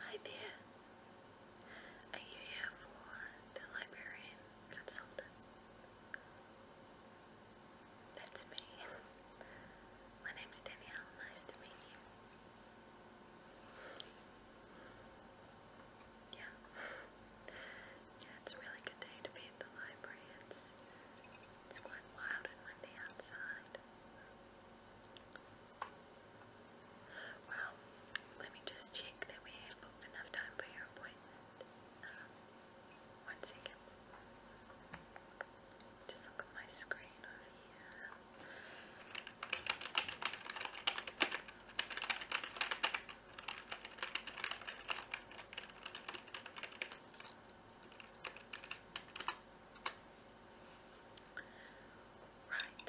Hi dear. Are you here for the librarian consultant? That's me. My name's Danielle. Nice to meet you. Yeah. Yeah, it's a really good day to be at the library. It's it's quite wild and windy outside. Well, let me just check that we have booked enough time for your appointment. Um, one second. Just look at my screen over here. Right.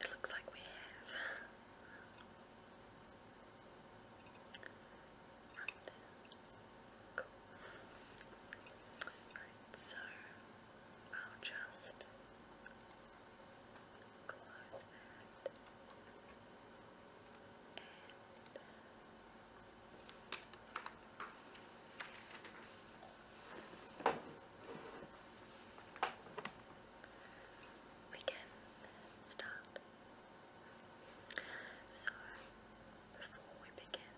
It looks like we have. Right. so I'll just close that. We can start. So, before we begin,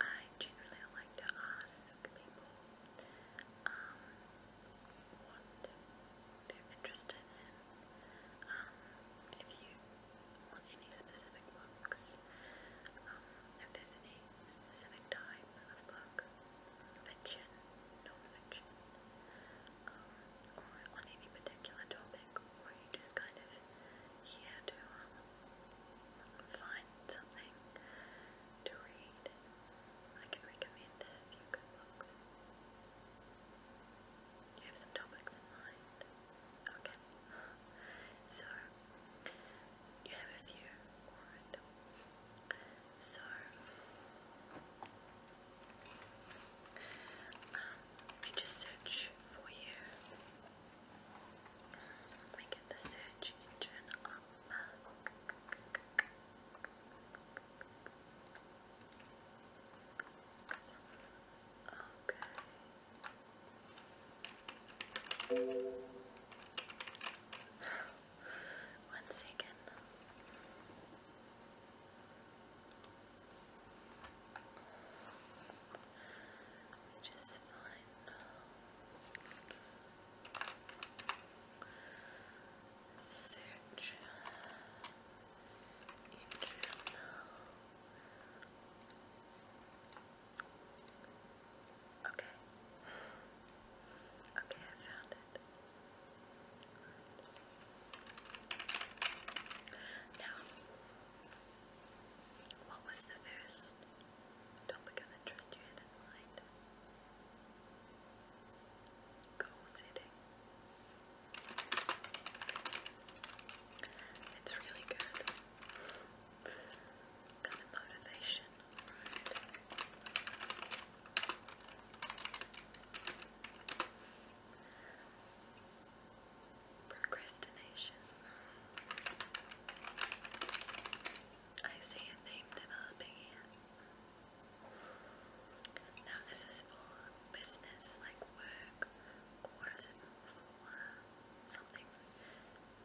I generally like to ask people um, what they're interested in. Um, if you or any specific books, um, if there's any specific type of book, fiction, non-fiction, um, or on any particular topic, or you just kind of here to um, find something to read. I can recommend a few good books. Do you have some topics in mind? Okay. So you have a few. Alright. So um, we just search for you. We get the search engine up. Okay. One second. Let just find uh, search in Okay. Okay, I found it. Now, what was the first topic of interest you had in mind? Goal setting. It's really good kind of motivation, right? Procrastination. I see a theme developing here. Now, this is for business like work, or is it for something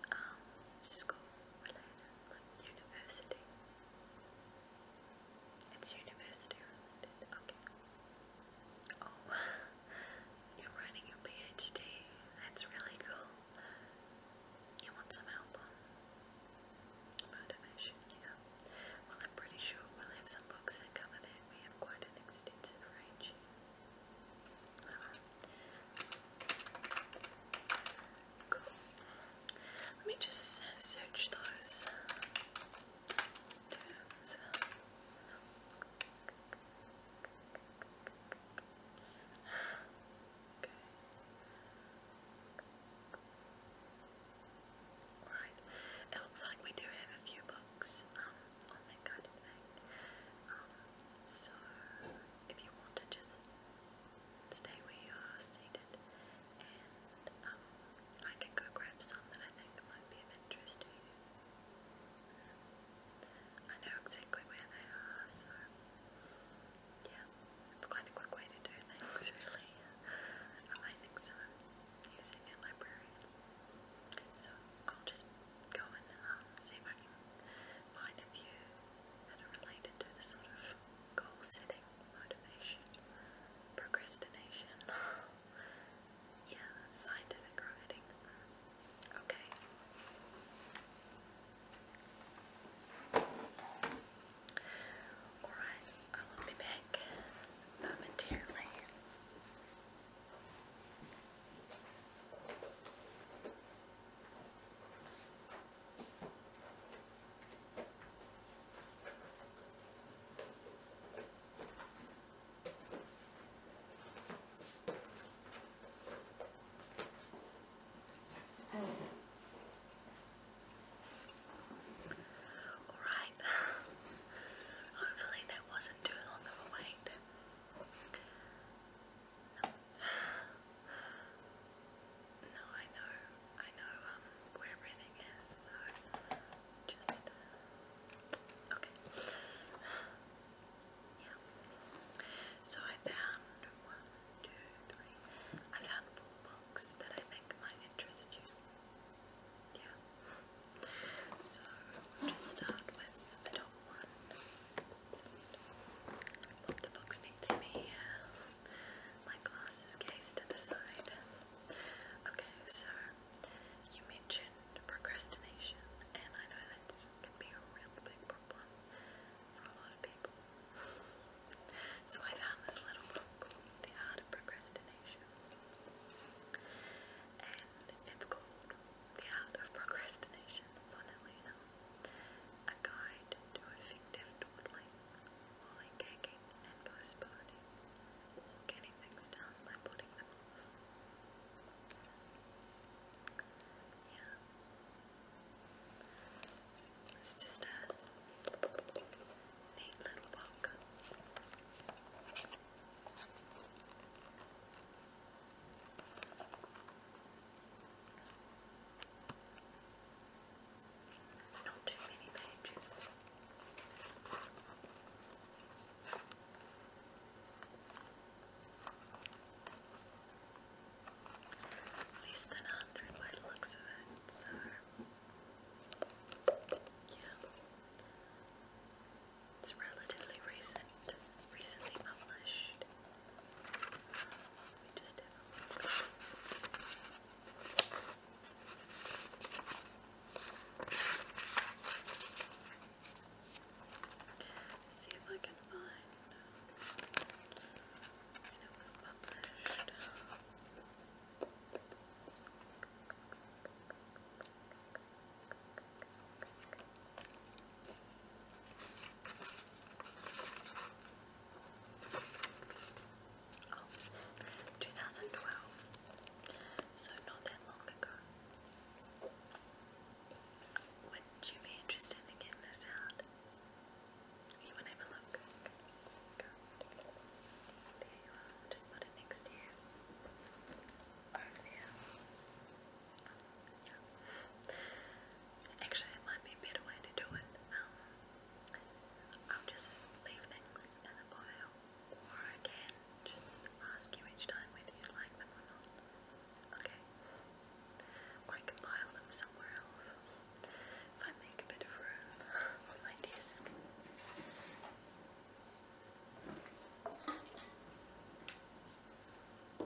um, school related, university. It's university related, okay. Oh, you're writing your PhD, that's really cool. You want some help on motivation, yeah. Well, I'm pretty sure we'll have some books that cover that. We have quite an extensive range Cool. Let me just search those terms. it looks like we do have a few bugs books, um, on oh um, so if you want to just stay where you are seated and um, I can go grab some that I think might be of interest to you. I know exactly where they are, so yeah, it's quite a quick way to do things really. I think so, using that library. So I'll just go and um, see if I can that are related to the sort of goal setting, motivation, procrastination, yeah, scientific writing. Okay. Alright, I will be back momentarily. Alright, hopefully that wasn't too long of a wait. No, I know, I know um, where everything is, so just, uh, okay. Yeah. So I found one, two, three, I found four books that I think might interest you. Yeah. So we'll just start with the top the box next to me. My glasses case to the side. Okay, so you mentioned procrastination, and I know that can be a real big problem for a lot of people. So I found this little book The Art of Procrastination, and it's called the Art of Procrastination, funnily enough, a guide to effective dawdling, lollygagging and postponing, getting things done by putting them off. Yeah. It's just a neat little book. Not too many pages. Less than a hundred by the of it, so yeah. It's relatively recent, recently published. Let me just See if I can find uh, when it was published. Oh, 2012, so not that long ago. Would you be interested in this out? You want to have a look? Go. I'll just put it next to you. Over there. Yeah. Actually, it might be a better way to do it. Um, I'll just leave things in the pile, or I just ask you each time whether you like them or not. Okay. Or can pile them somewhere else. If I make a bit of room on my desk. Okay.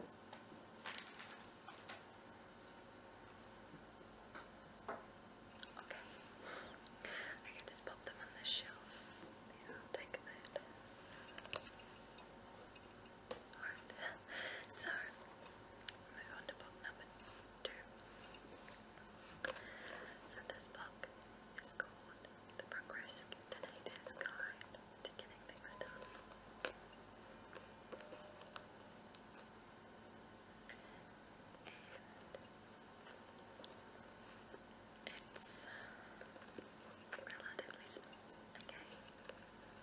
I can just pop them on the shelf. take that. Alright. So move on to book number two. So this book is called The Procrastinator's Guide to getting it's relatively small, okay? Um,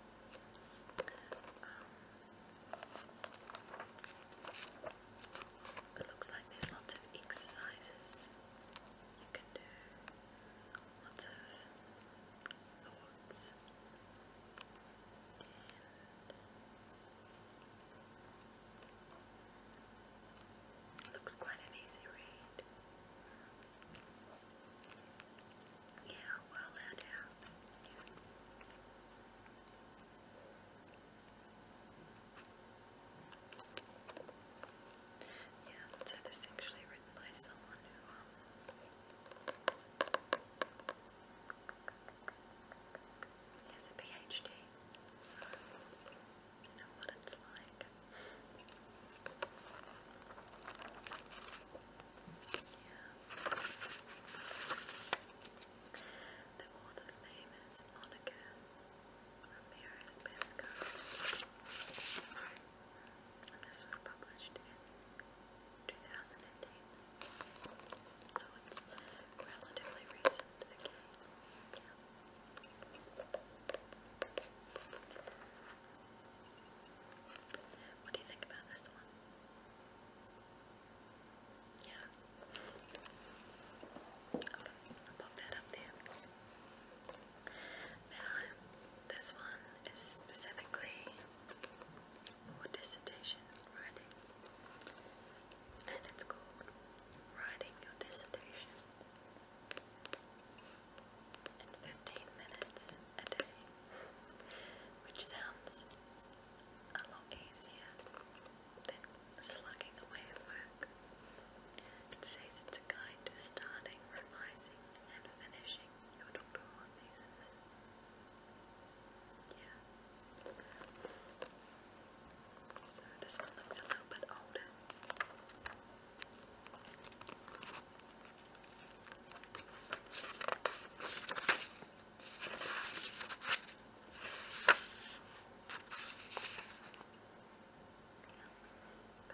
it looks like there's lots of exercises. You can do lots of thoughts it looks quite an easy read. Yeah, well laid Yeah. Yeah, so this is actually written by someone who um, he has a PhD, so you know what it's like. Yeah. The author's name is Monica Ramirez Pesco. And this was published in 2008. So it's relatively recent What do you think about this one? Yeah. Okay, I'll pop that up there this one is specifically for dissertation writing, and it's called Writing Your Dissertation in 15 Minutes a Day, which sounds a lot easier than slugging away at work. It says it's a guide to starting, revising, and finishing your doctor Yeah. So this one looks a little bit older.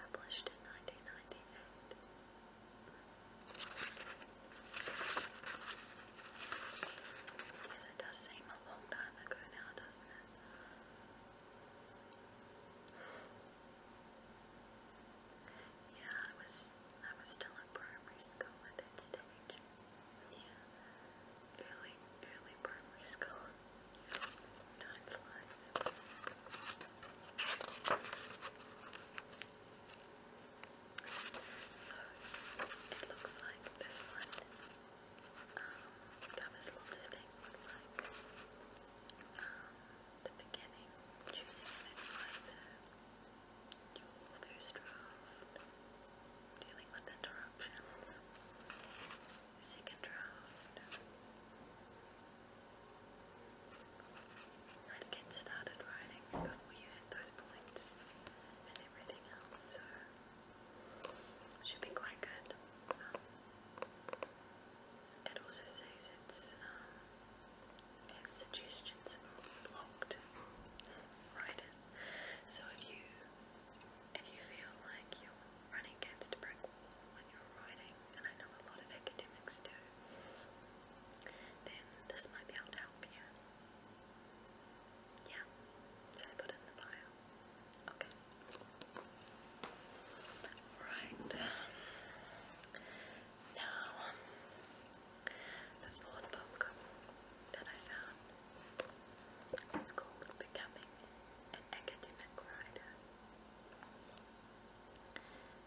Published in 1998. Yes, it does seem a long time ago now, doesn't it? Yeah, I was I was still in primary school at that stage. Yeah. Early early primary school. Time flies. So it looks like this one covers lots of things like um, the beginning, choosing an advisor, your first draft, dealing with interruptions, second draft, i get started writing before you hit those points and everything else, so should be quite good. Um, it also says it's um, suggestions of blocked writers, so if you if you feel like you're running against a brick wall when you're writing, and I know a lot of academics do then this might be able to help you. Yeah, should I put in the bio? Okay. Right. Now, the fourth book that I found is called Becoming an Academic Writer.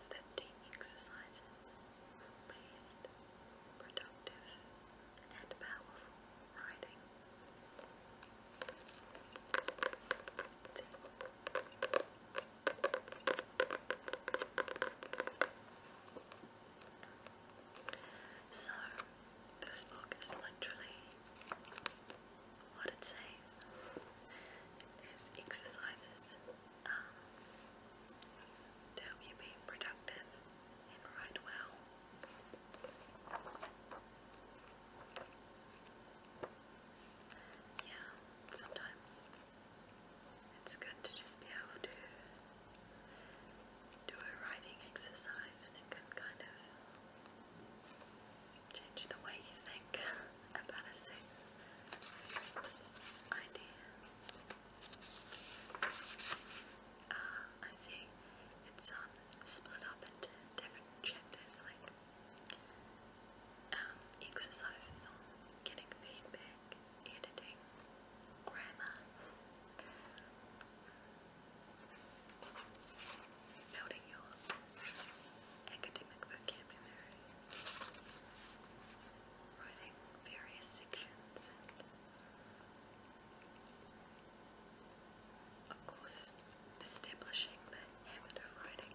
50 exercises for productive, and powerful writing. So, this book is literally what it says. It exercises to help you be productive and write well. Yeah, sometimes it's good to just be able to do a writing exercise and it can kind of change the way you think. embarrassing idea. Ah, I see. It's um split up into different chapters, like um exercises on getting feedback, editing, grammar. Building your academic vocabulary writing various sections of course establishing the habit of writing.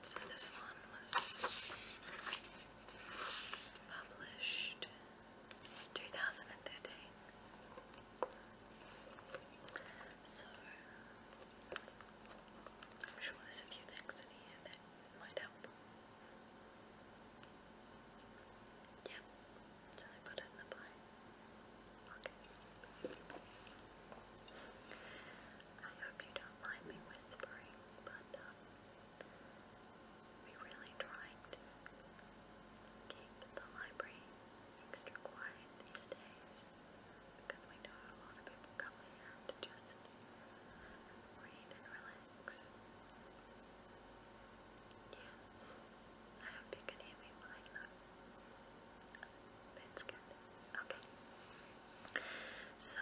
So this one was published 2013. So I'm sure there's a few things in here that might help. Yeah, so put in the pie. Okay. I hope you don't mind me whispering, but um, we're really trying to keep the library extra quiet these days because we know a lot of people come here to just read and relax. Yeah, I hope you can hear me fine That's good. Okay. So,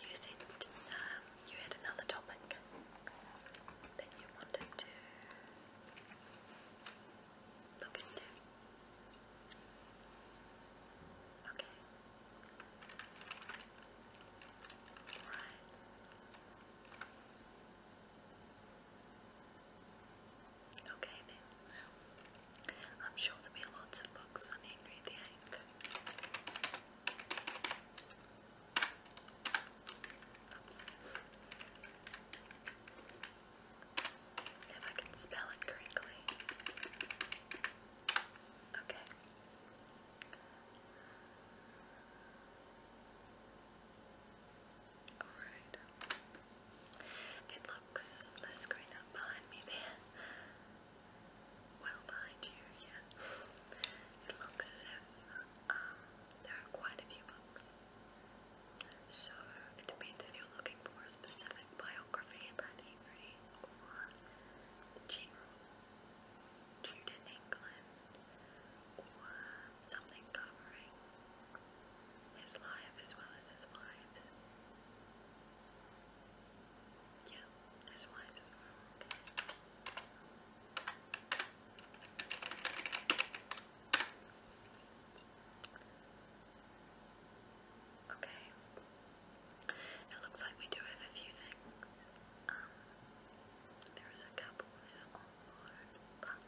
you said um, you had another topic that you wanted to Look into. Okay. All right. Okay then. I'm sure there'll be lots of books on Henry VIII. Oops. If I can spell it correctly. Okay. Alright. It looks the screen up behind me there. Well behind you, yeah. It looks as if um, there are quite a few books. So it means if you're looking for a specific biography about Henry or general Jude England or something covering his life as well as his wives. Yeah, his wives as well. Okay. It looks like we do have a few things. Um, there is a couple that are online, but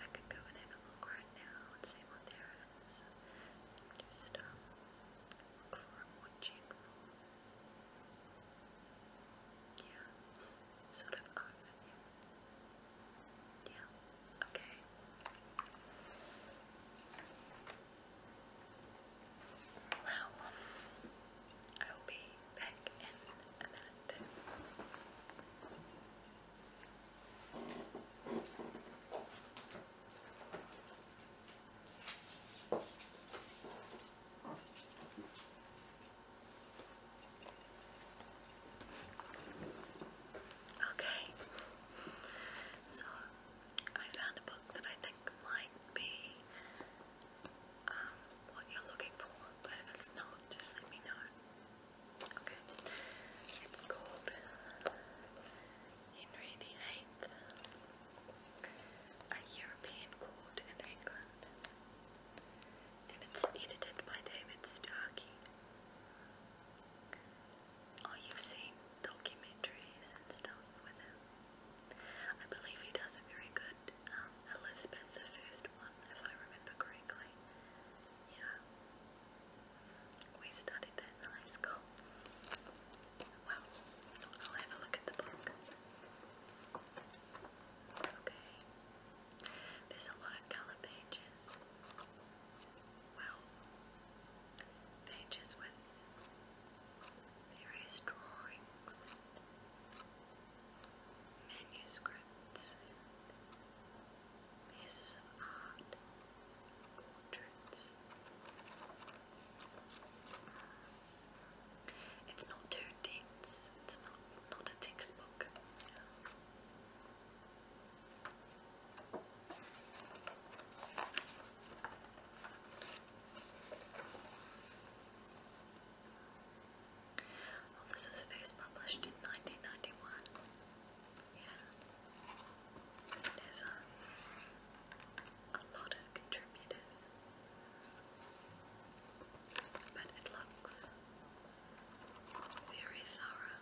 I could go and have a look right now and see what there is. And just um, look for a more general, yeah, sort of overview. Yeah. Okay. Well, I will be back in a minute. Okay, so I found a book that I think might be um, what you're looking for, but if it's not, just let me know. Okay, it's called Henry the a European court in England, and it's edited by David Starkey. Oh, you've seen documentaries and stuff with him. I believe he does a very good um, Elizabeth the if I remember correctly. Yeah. We studied that in high school. Well, I'll have a look at the book. Okay. There's a lot of color pages. Well, pages with various drawings manuscripts pieces of art, portraits. It's not too dense. It's not not a textbook this was first published in 1991. Yeah. There's a, um, a lot of contributors. But it looks very thorough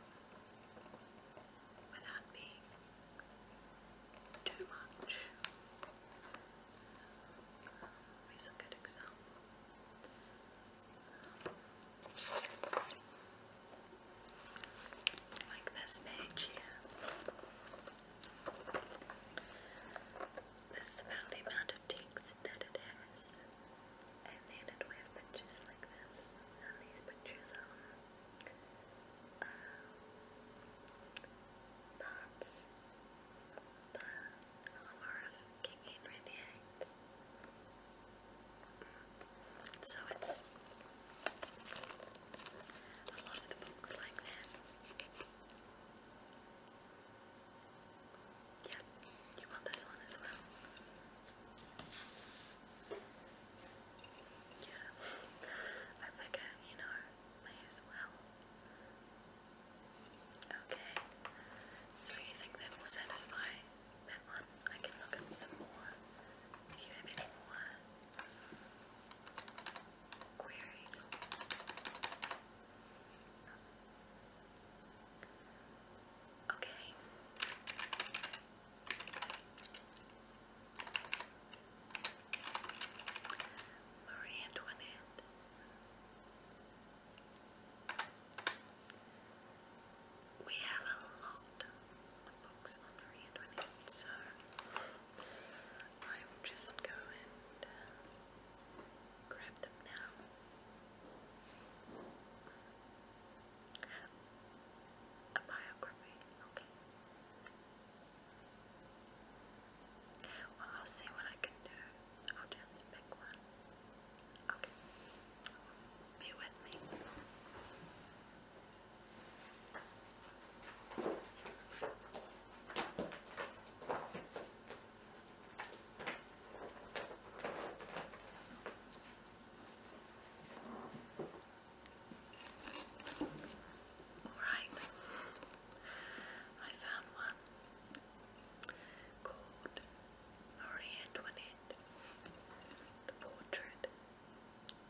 without being too much. Here's a good example. Like this page here. This amount of ticks that it has. I made with pictures like this, and these pictures are um, uh, the armor of King Henry VIII. So it's a lot of the books like that. Yeah, you want this one as well. Yeah, uh, I you know, may as well. Okay, so you think that will satisfy that one? I can look up some more you have any queries. Okay. Marie Antoinette. We have a lot of books on Marie Antoinette, so I will just go and grab them now. A biography, okay. Well, I'll see what I can do. I'll just pick one. Okay. Be with me. Alright, I found one called Marie the portrait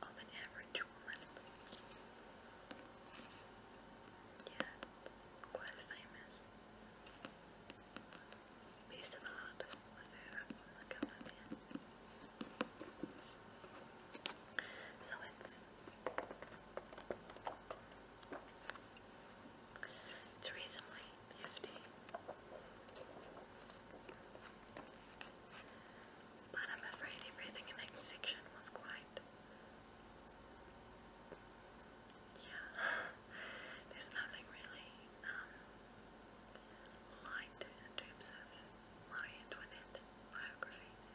of an average woman. Yeah, quite famous piece of art look it's reasonably hefty. But I'm afraid everything in that section was quite. Yeah, there's nothing really um, liked in terms of Marie Antoinette biographies.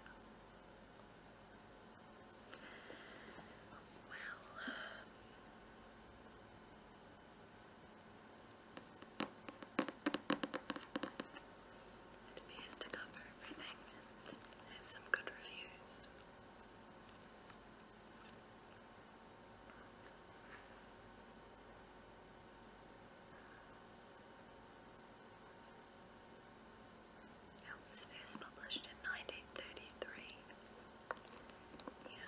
Well, it appears to cover everything and has some good reviews. It was published in 1933. Yeah.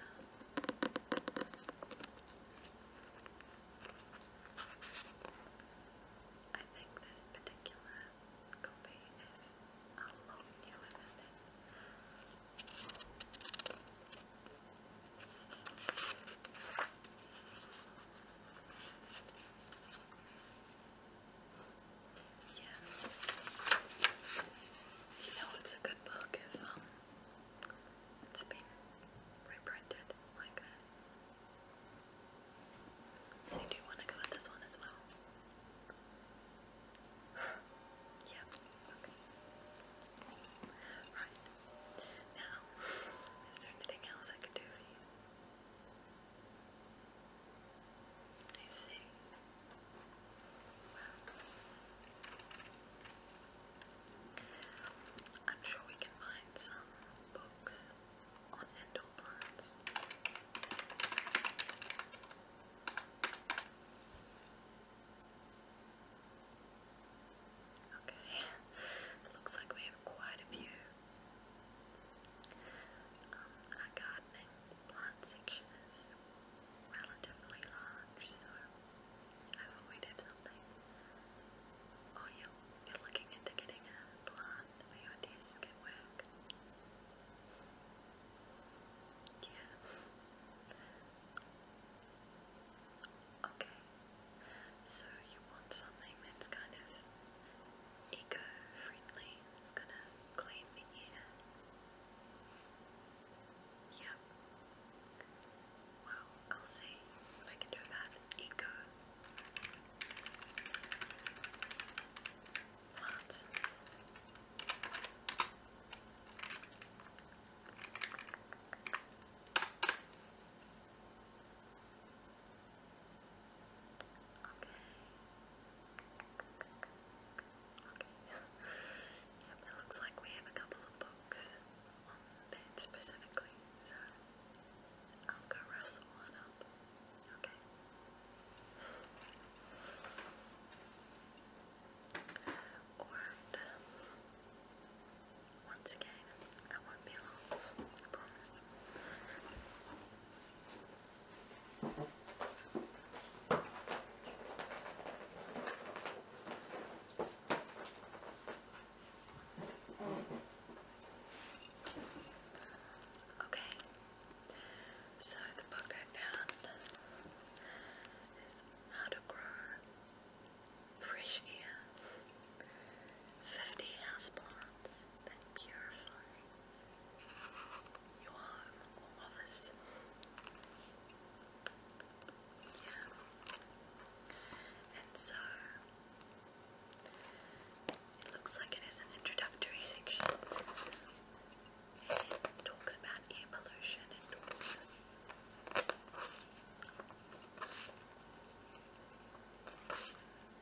I think this particular copy is a lot newer you know it's a good book if um it's been reprinted like that. Uh, so you want to go with this one as well. yeah, okay. Right. Now, is there anything else I could do for you? I see. I'm sure we can find some books on indoor Okay, looks like we have quite a few. our um, gardening plant section is relatively large, so I thought we'd have something. Oh, you're, looking into getting a plant for your desk at Yeah. Okay, so you want something that's kind of eco-friendly, it's gonna clean the air. Yep. Well, I'll see what I can do about eco plants yep, it looks like we have a couple of books on that specifically, so I'll go rustle one up. Okay. Um, once again, I won't be long, I promise. Okay, so the book I found is How to Grow fresh air, 50 houseplants that purify your home or office. Yeah. And so, it looks like it is an introductory section. it talks about air pollution and all this. The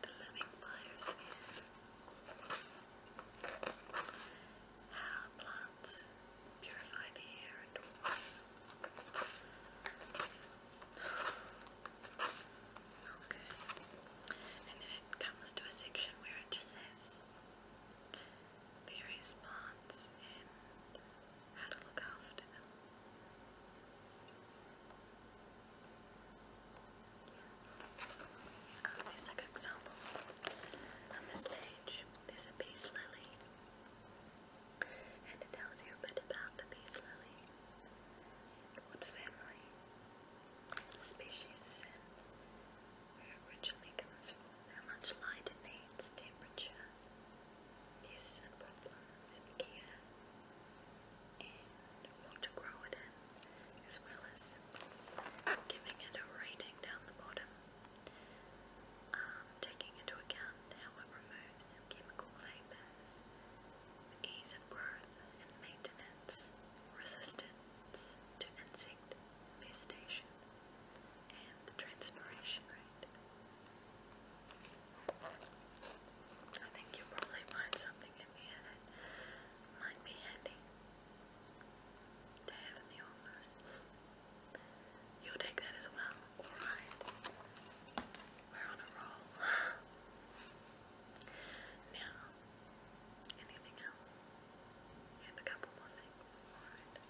Living Fire Sphere. How plants purify the air and waters. And then it comes to a section where it just says various plants how oh, to example on this page. There's a peace lily, and it tells you a bit about the peace lily, what family, species is in, where originally comes from, how much light it needs, temperature his sun problems and water growing as well as giving it a rating down the bottom, um, taking into account how it removes chemical vapours, ease of growth and maintenance, resistance to insect infestation, and transpiration rate. I think you'll probably find something in here that might be handy to have You'll take that as well. Alright. We're on a roll. now, anything else? You have a couple more things. Alright.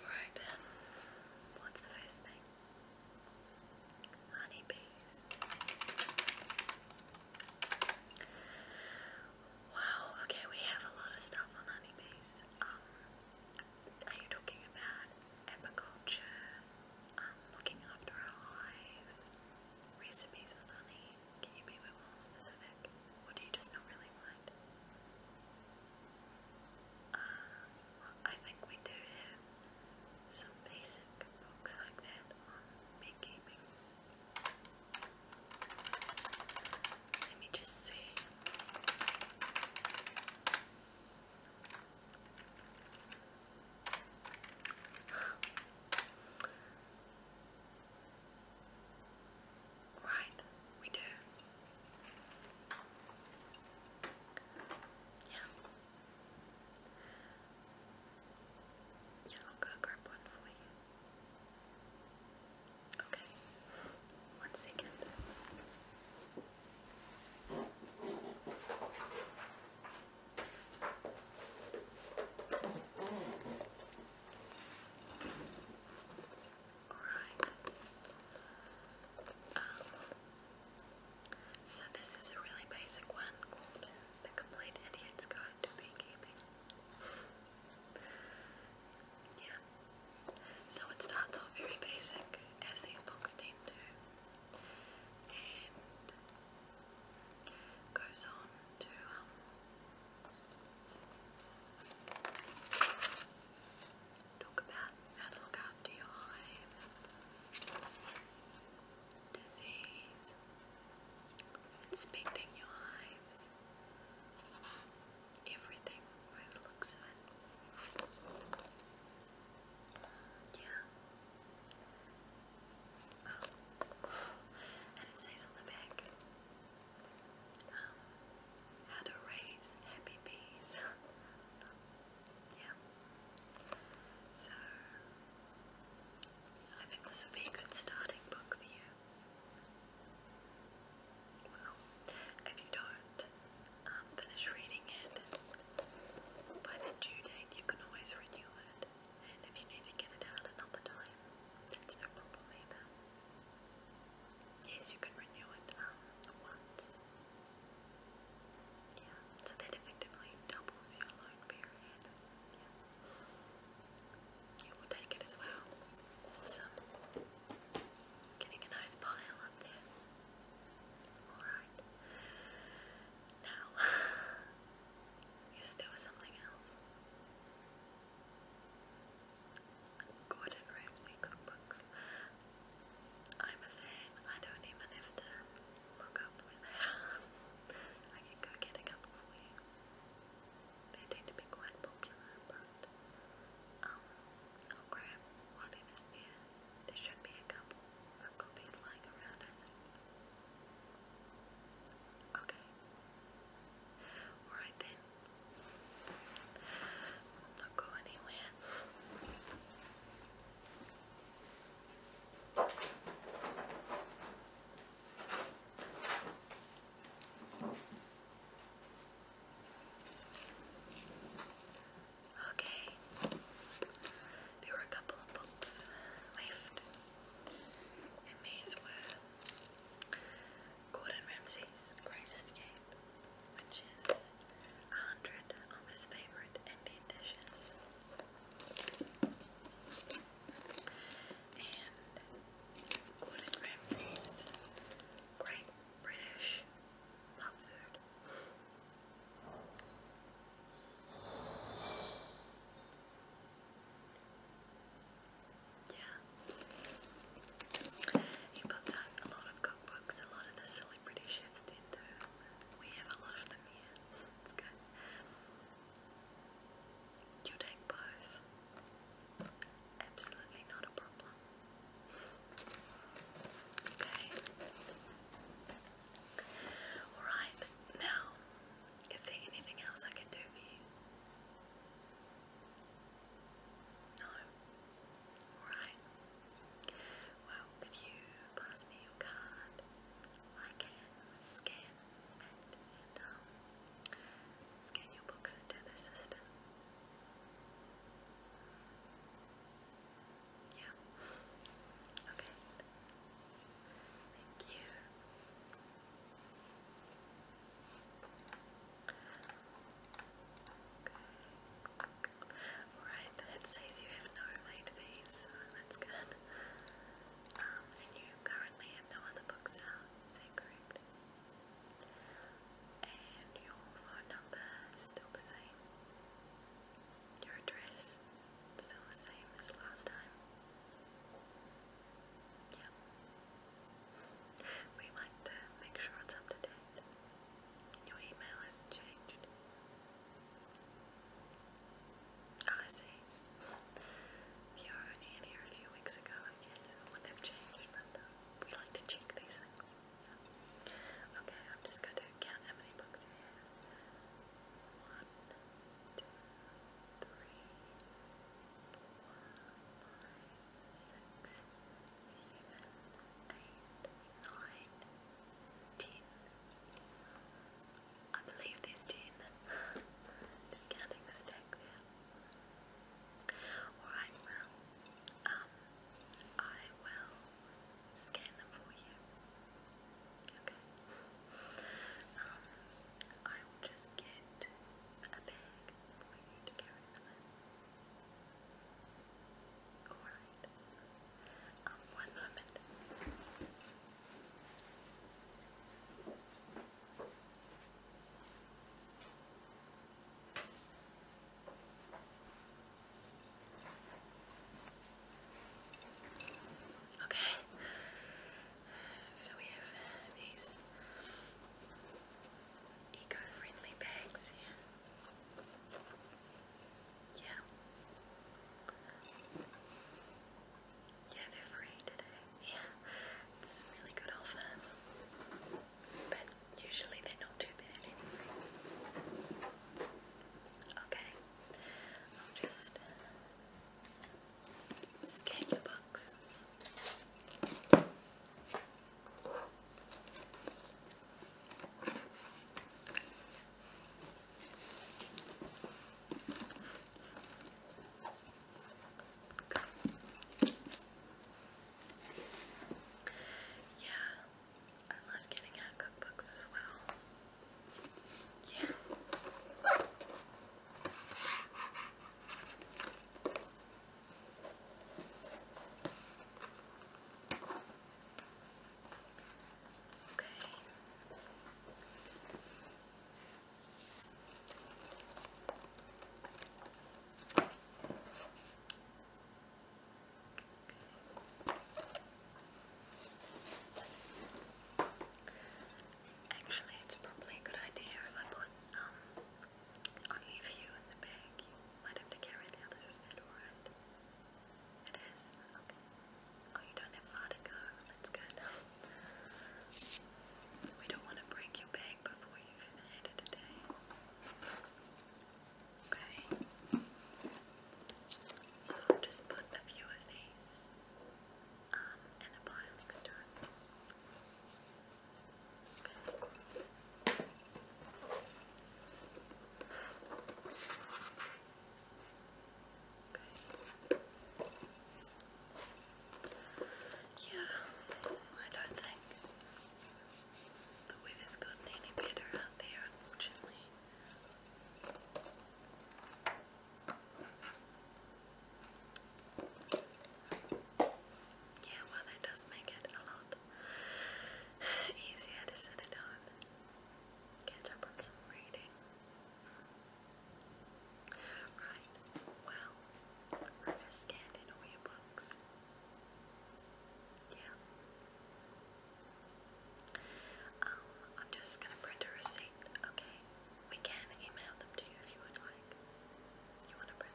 Alright what's the first thing? Honeybees. Wow, okay, we have a lot of stuff on honeybees. Um, are you talking about apiculture, um, looking after a hive, recipes with honey? Can you be a bit more specific? Or do you just not really want side. Um, uh, I think we do have some basic books like that on beekeeping. Let me just see. Right, we do. Yeah. Yeah, I'll go grab one for you. Okay. One second so this is a really basic one called The Complete Idiot's Guide to Beekeeping. yeah. So it starts off very basic, as these books tend to, and goes on to um, Talk about how look after your hive, disease, inspecting your hives, everything looks Yeah. Oh. And it says on the back um, how to raise happy bees. yeah. So, I think this would be a good starting book for you. if you don't um, finish reading it by the due date, you can always renew it. And if you need to get it out another time, that's no problem either. Yes, you can renew it um, once. Yeah, so that effectively doubles your loan period. Yeah. You will take it as well. Awesome. Getting a nice pile up there. Alright. Now, yes, there was something else. Gordon Ramsay cookbooks. I'm a I don't even have to look up where I can go get a couple you. They tend to be quite popular, but um, I'll grab whatever's there. There should be a couple of copies lying around, Okay. Alright then, don't go anywhere. Okay, there were a couple of books left in May's were Gordon Ramsay's Great Escape, which is a hundred of his favourite Indian dishes. And Gordon Ramsay's Great British Pub Food. Yeah. He puts out a lot of cookbooks, a lot of the celebrity chefs did too. We have a lot of them here. It's good. You take both. Absolutely not a problem. Okay. Alright, now, is there anything else I can do for you? Alright. Well, if you pass me your card, I can scan and um, scan your books into the system. Yeah. Okay. Thank you. Okay. Alright, it says you have no late fees, that's good. Um, and you currently have no other books out, is that correct? And your phone number still the same. Your address still the same as last time. Yeah. We like to make sure it's up to date. Your email hasn't changed. Oh, I see. You were only in here a few weeks ago, I wouldn't have changed, uh, we like to check these things. Okay, I'm just going to count how many books you have. One, two, three, four, five. Six, seven, eight, nine, ten, eleven, twelve, six, seven, eight, nine, ten. I believe there's ten. Discounting the there. Alright, um, I will scan them for you. Okay. Um, I will just get a bag for you to carry them in. Alright. Um, one moment. Okay, so we have these eco-friendly bags Yeah. yeah. Yeah, they're free today. Yeah, it's really good offer. But usually they're not too bad anyway. Okay, I'll just uh, scan your yeah, I love getting out cookbooks as well. Yeah. Okay. Okay. Actually, it's probably a good idea if I put um, I'll leave you in the bag. You might have to carry the others. Is that alright? It is? Oh, you don't have far That's good. we don't want to break your bag before you've had it today. Okay. So just put a few of these um, in a pile next to it. Yeah, I don't think the weather's gotten any better out there, unfortunately. Yeah, well, that does make it a lot easier to set it on. Catch up on some reading. Right, well, I just scanned in all your books. Yeah. Um, I'm just gonna print a receipt, okay? We can email them to you if you would like. You want to bread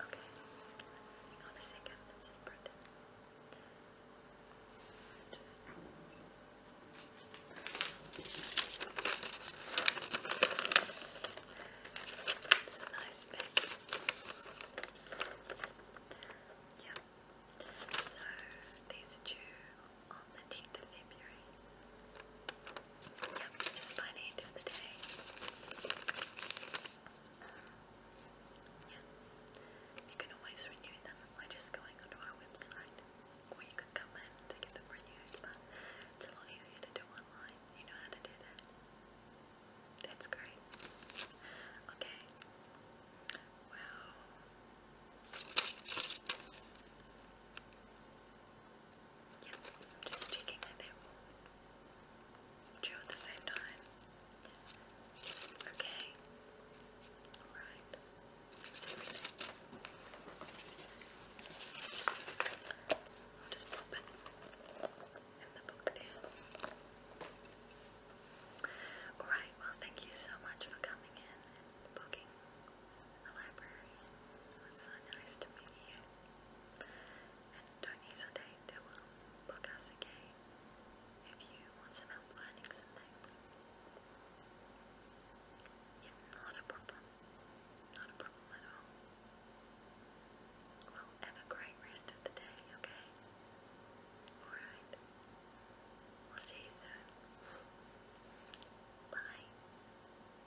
Okay. Okay. on a 2nd It's a nice bit. Yeah. So these are on the 10th of February. That just by the end of the day. Um, yeah. You can always renew them by just going onto our website. Or you can come in to get them renewed, but it's a lot easier to do online. You know how to do that. That's great. Okay. Wow. Yep, just checking that they will at the same time. Okay. Alright. I'll just pop in the book there. Alright, well thank you so much for coming in and booking the library. It so nice to meet you. And don't hesitate to book us again if you want some help learning some things. not a problem. Not a problem at all. Well, have a great rest of the day, okay? Alright. We'll see you soon. Bye.